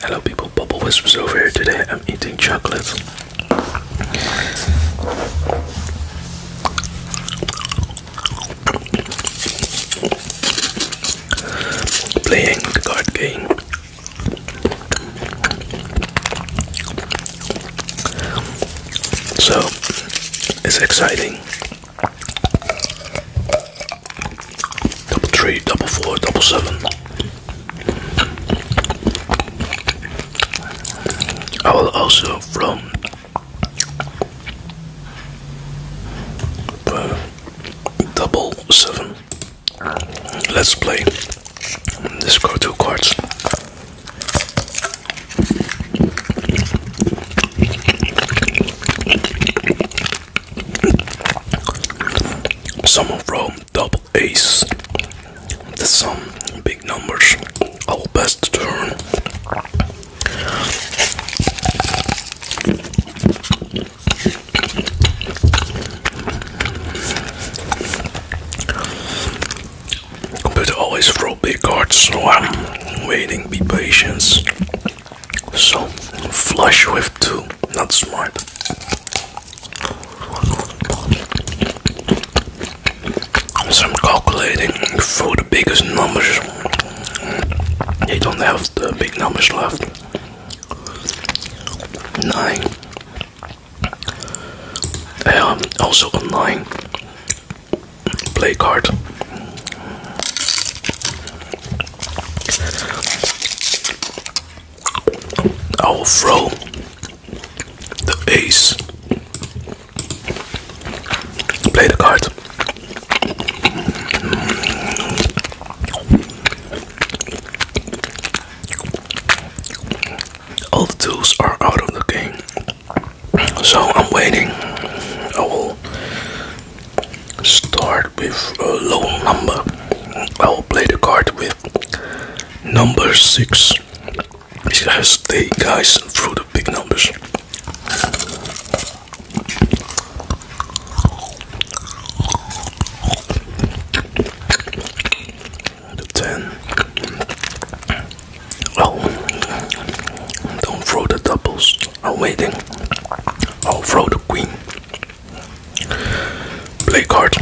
Hello people, Bubble Whispers over here. Today I'm eating chocolate. Playing the card game. So, it's exciting double three, double four, double seven. I will also from uh, double seven. Let's play. Let's go two cards. Someone from double ace. That's some big numbers. Our best turn. Computer always throw big cards, so I'm waiting. Be patient. So flush with two. Not smart. So I'm calculating for the biggest numbers. They don't have the big numbers left. Nine. Um, also online. play card. I will throw the ace. Play the card. All the tools are out of the game, so I'm waiting. I will start with a low number. I will play the card with number six. Because they guys and throw the big numbers. The ten. Well, oh, don't throw the doubles. I'm waiting. I'll throw the queen. Play card.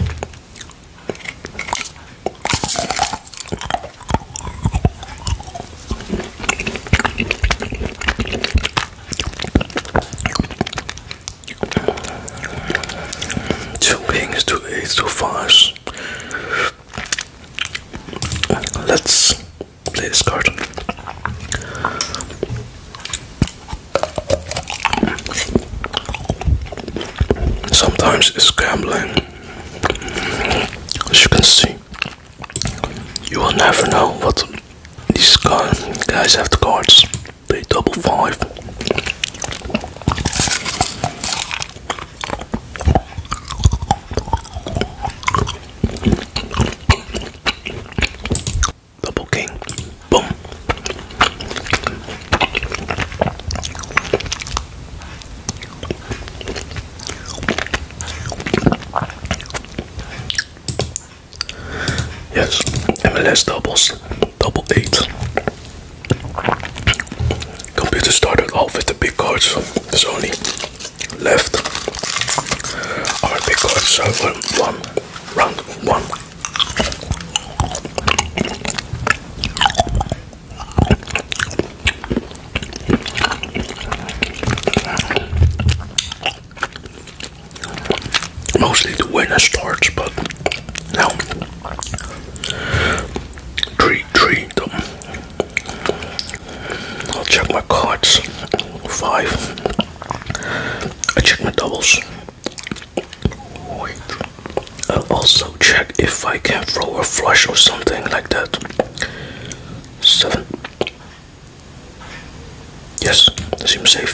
Two kings, two eights, two fives. Let's play this card. Sometimes it's gambling. As you can see, you will never know what these guys have the cards. They double five. Double king. Boom. Yes, MLS doubles, double eight. Computer started off with the big cards, Sony left or because someone won round one. Mostly the winner starts, but now three, three. I'll check my cards. Five. I check my doubles. I'll also check if I can throw a flush or something like that. Seven. Yes, seems safe.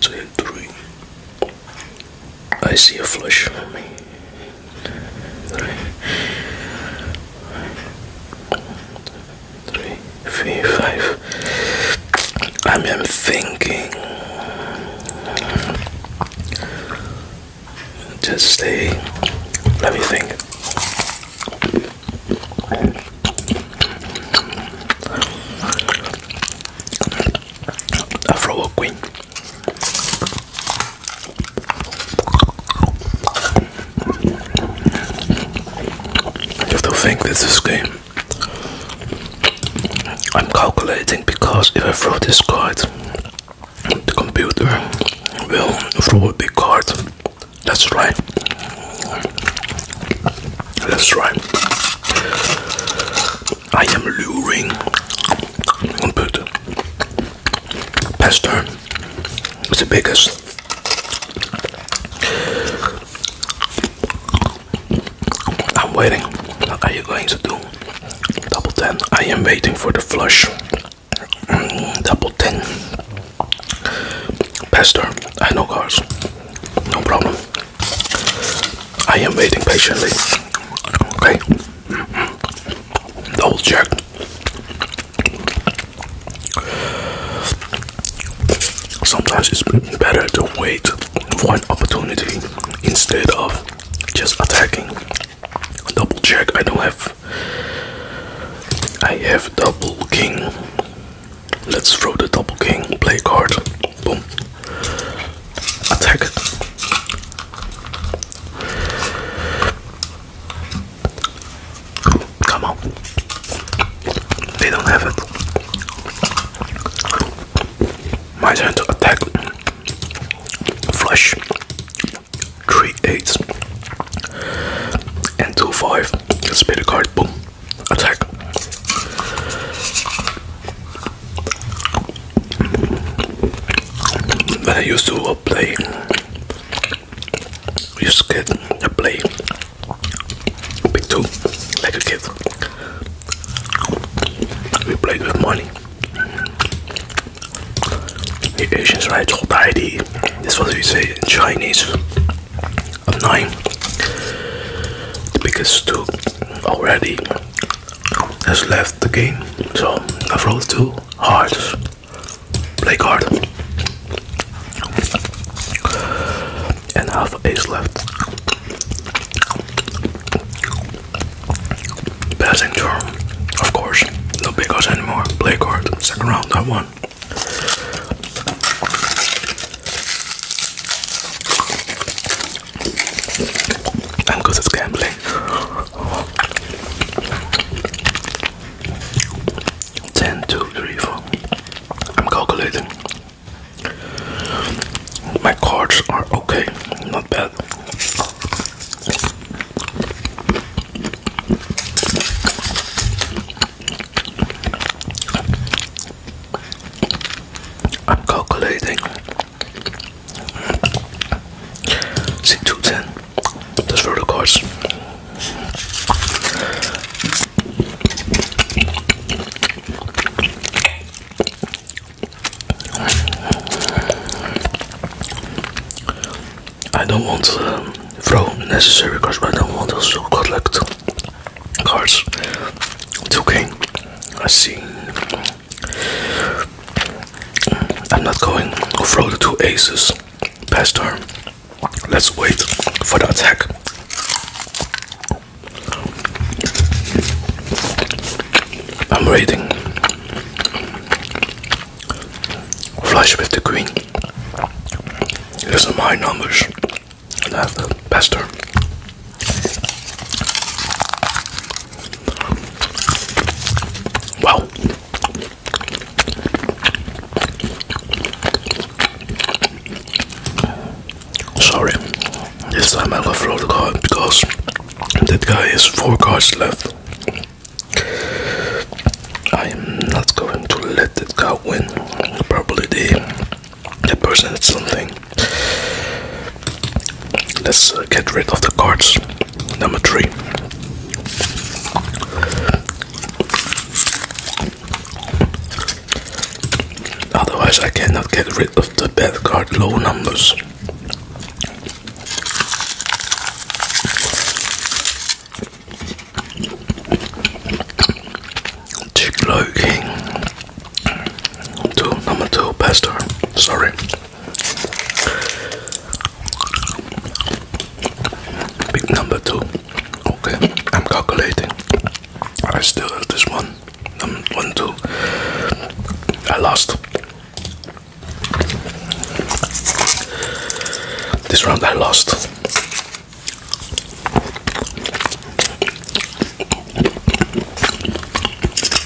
Two, three. I see a flush three, three, five. I am thinking just stay let me think Afro Queen you have to think this is game. I'm calculating because if I throw this card, the computer will throw a big card. That's right. try. Let's try. I am luring computer. Pester, it's the biggest. I'm waiting. What are you going to do? Double ten. I am waiting for the flush. Mm, double ten. Pester, 10. Pesto, I know cars. No problem. I am waiting patiently. Okay. Double check. Sometimes it's better to wait for an opportunity instead of just attacking. Double check. I don't have. I have double king. Let's throw the double king. Play card. Boom. Attack. Come on. They don't have it. My turn to attack. Flush. three eight And two five. Let's play the card. Boom. Attack. When I used to play you scared the play big two like a kid. We played with money. The Asians right hold ID. This what we say in Chinese. I'm nine. The biggest two already has left the game. So I've rolled two hearts. Play card. And half ace left. Passing turn, of course. No big odds anymore. Play card. Second round, I won. And because it's gambling. 10, 2, 3, 4. I'm calculating. My cards are okay, not bad. I'm calculating. See two ten. This food, of course. I don't want to um, throw necessary cards, but I don't want also collect cards. It's okay. I see. I'm not going to throw the two aces. Pastor, Let's wait for the attack. I'm waiting. Flush with the queen. These my numbers. And have the best Wow. Sorry, this time I left the card because that guy has four cards left. I am not going to let that guy win. Probably the that person is something. Let's uh, get rid of the cards. Number three. Otherwise, I cannot get rid of the bad card low numbers. Chick King. Two, number two, pastor. Sorry. Big number two. Okay, I'm calculating. I still have this one. Um, one, two. I lost. This round I lost.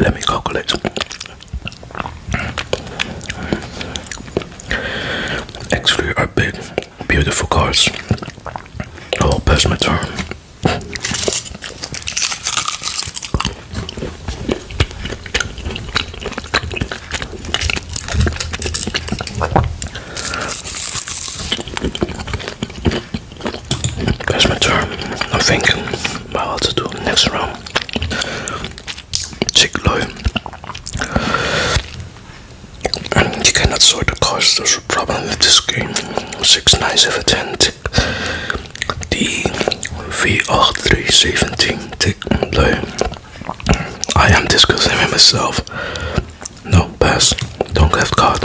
Let me calculate. Actually, are big, beautiful cars. Oh, pass my turn. That's my turn. I'm thinking about what to do next round. Chick Lloyd. And you cannot sort the cards, there's a problem with this game. 6, 9, 7, 10, tick. D, V, 3, 17, tick, I am discussing with myself. No, pass. Don't have card.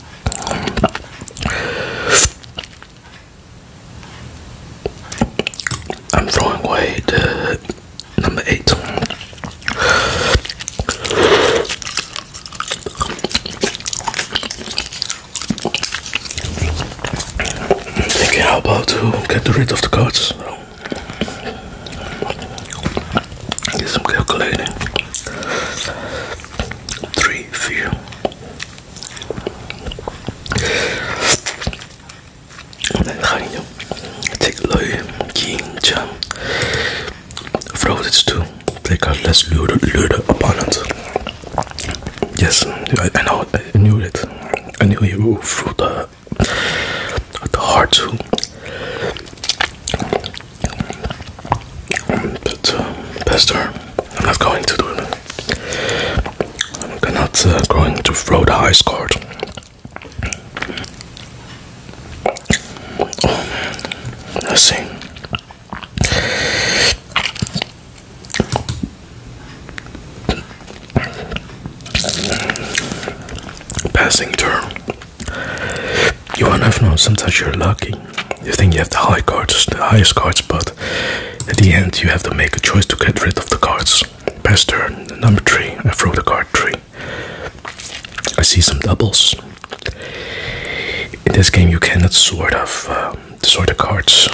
I'm throwing away the number eight. I'm thinking how about to get rid of the cards. Get some calculating three few. Then take Loy King Chan Frozen stew. They got less loaded loaded opponents. Yes, I, I know I knew it. I knew you through the the hard too. Uh, pester I'm not going to do it I'm not uh, going to throw the ice card oh, see Passing turn. You will never know. Sometimes you're lucky. You think you have the high cards, the highest cards, but at the end you have to make a choice to get rid of the cards. Best turn, number three. I throw the card three. I see some doubles. In this game, you cannot sort of uh, sort the cards,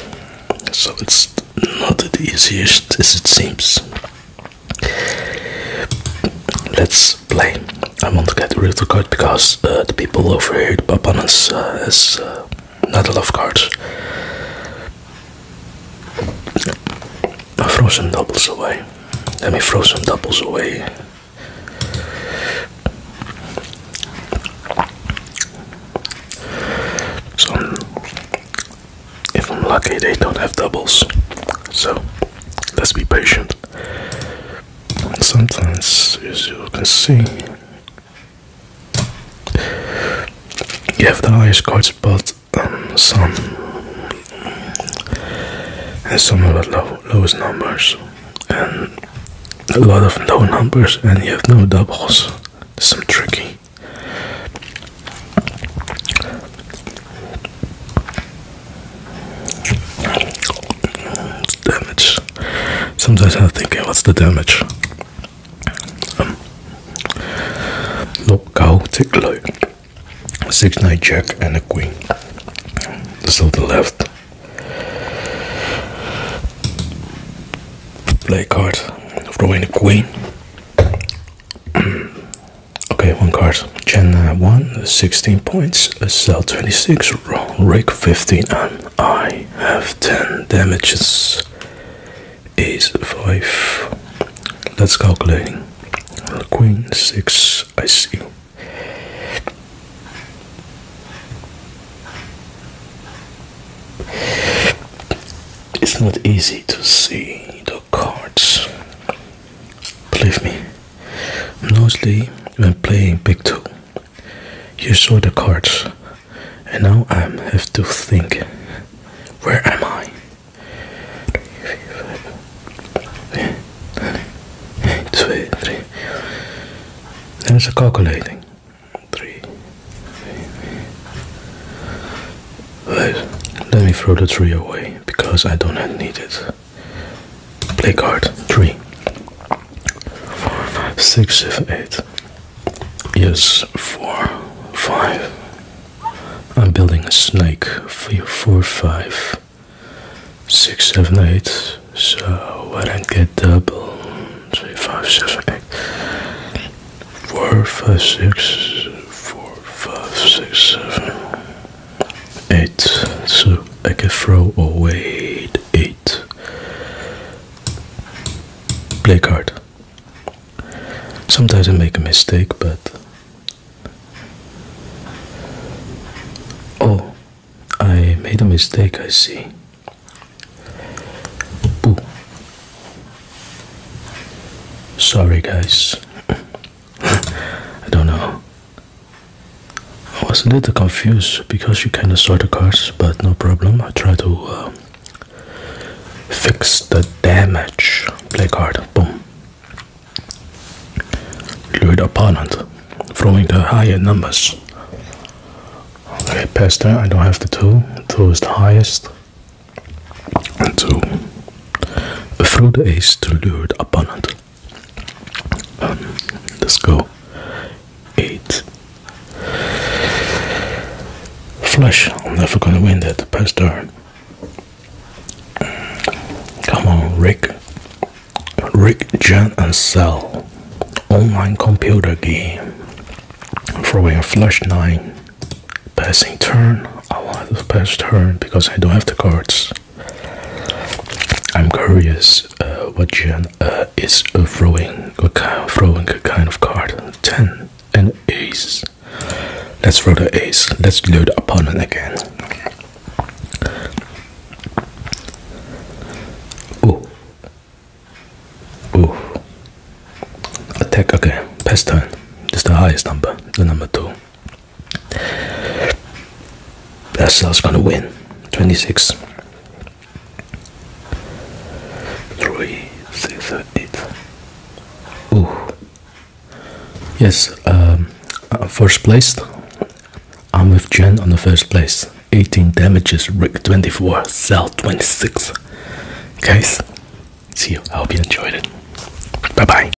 so it's not the easiest as it seems. Let's is I want to get rid of the card because uh, the people over here, the opponents, uh, uh, not a love card. I throw some doubles away. Let me throw some doubles away. So, if I'm lucky, they don't have doubles. So, let's be patient sometimes, as you can see, you have the highest cards, but um, some and some of the low, lowest numbers, and a lot of low numbers, and you have no doubles. Some tricky. Damage. Sometimes I'm thinking, what's the damage? Um, look look, Take a look. Six, nine, jack, and a queen. So the left. Play card. Throw in a queen. okay, one card. Gen 1, 16 points, Cell 26, Rick 15, and I have 10 damages. Ace 5. Let's calculating. Queen 6, I see. It's not easy to see the cards. Believe me. Mostly when playing Big Two, you saw the cards, and now I have to think where am I? Two, three. There's a calculating. Three. let me throw the three away because I do not need it. Play card three. Six, seven, eight. Yes, four, five. I'm building a snake. Four, four, five, six, seven, eight. So I don't get double. Three, five, seven, eight. Four, five, six, four, five, six, seven. 8 so I can throw away 8 play card sometimes I make a mistake but oh I made a mistake I see Ooh. sorry guys I don't know I was a little confused because you kinda saw the cards, but no problem. I try to uh, fix the damage. Play card, boom. Lured the opponent, throwing the higher numbers. Okay, past that, I don't have the two. Two is the highest. And two. Through the ace to lured the opponent let's go. Eight. Flush. I'm never gonna win that. Pass turn. Come on, Rick. Rick, Jan, and Sel. Online computer game. Throwing a flush nine. Passing turn. I want to pass turn because I don't have the cards. I'm curious uh, what Jan uh, is throwing, throwing a kind of card. 10 and ace. Let's throw the ace. Let's load the opponent again. Oh, oh! Attack again. Pass turn. This the highest number, the number 2 cell's gonna win 26 3 yes um, first place I'm with Jen on the first place 18 damages Rick 24 cell 26 guys see you I hope you enjoyed it bye bye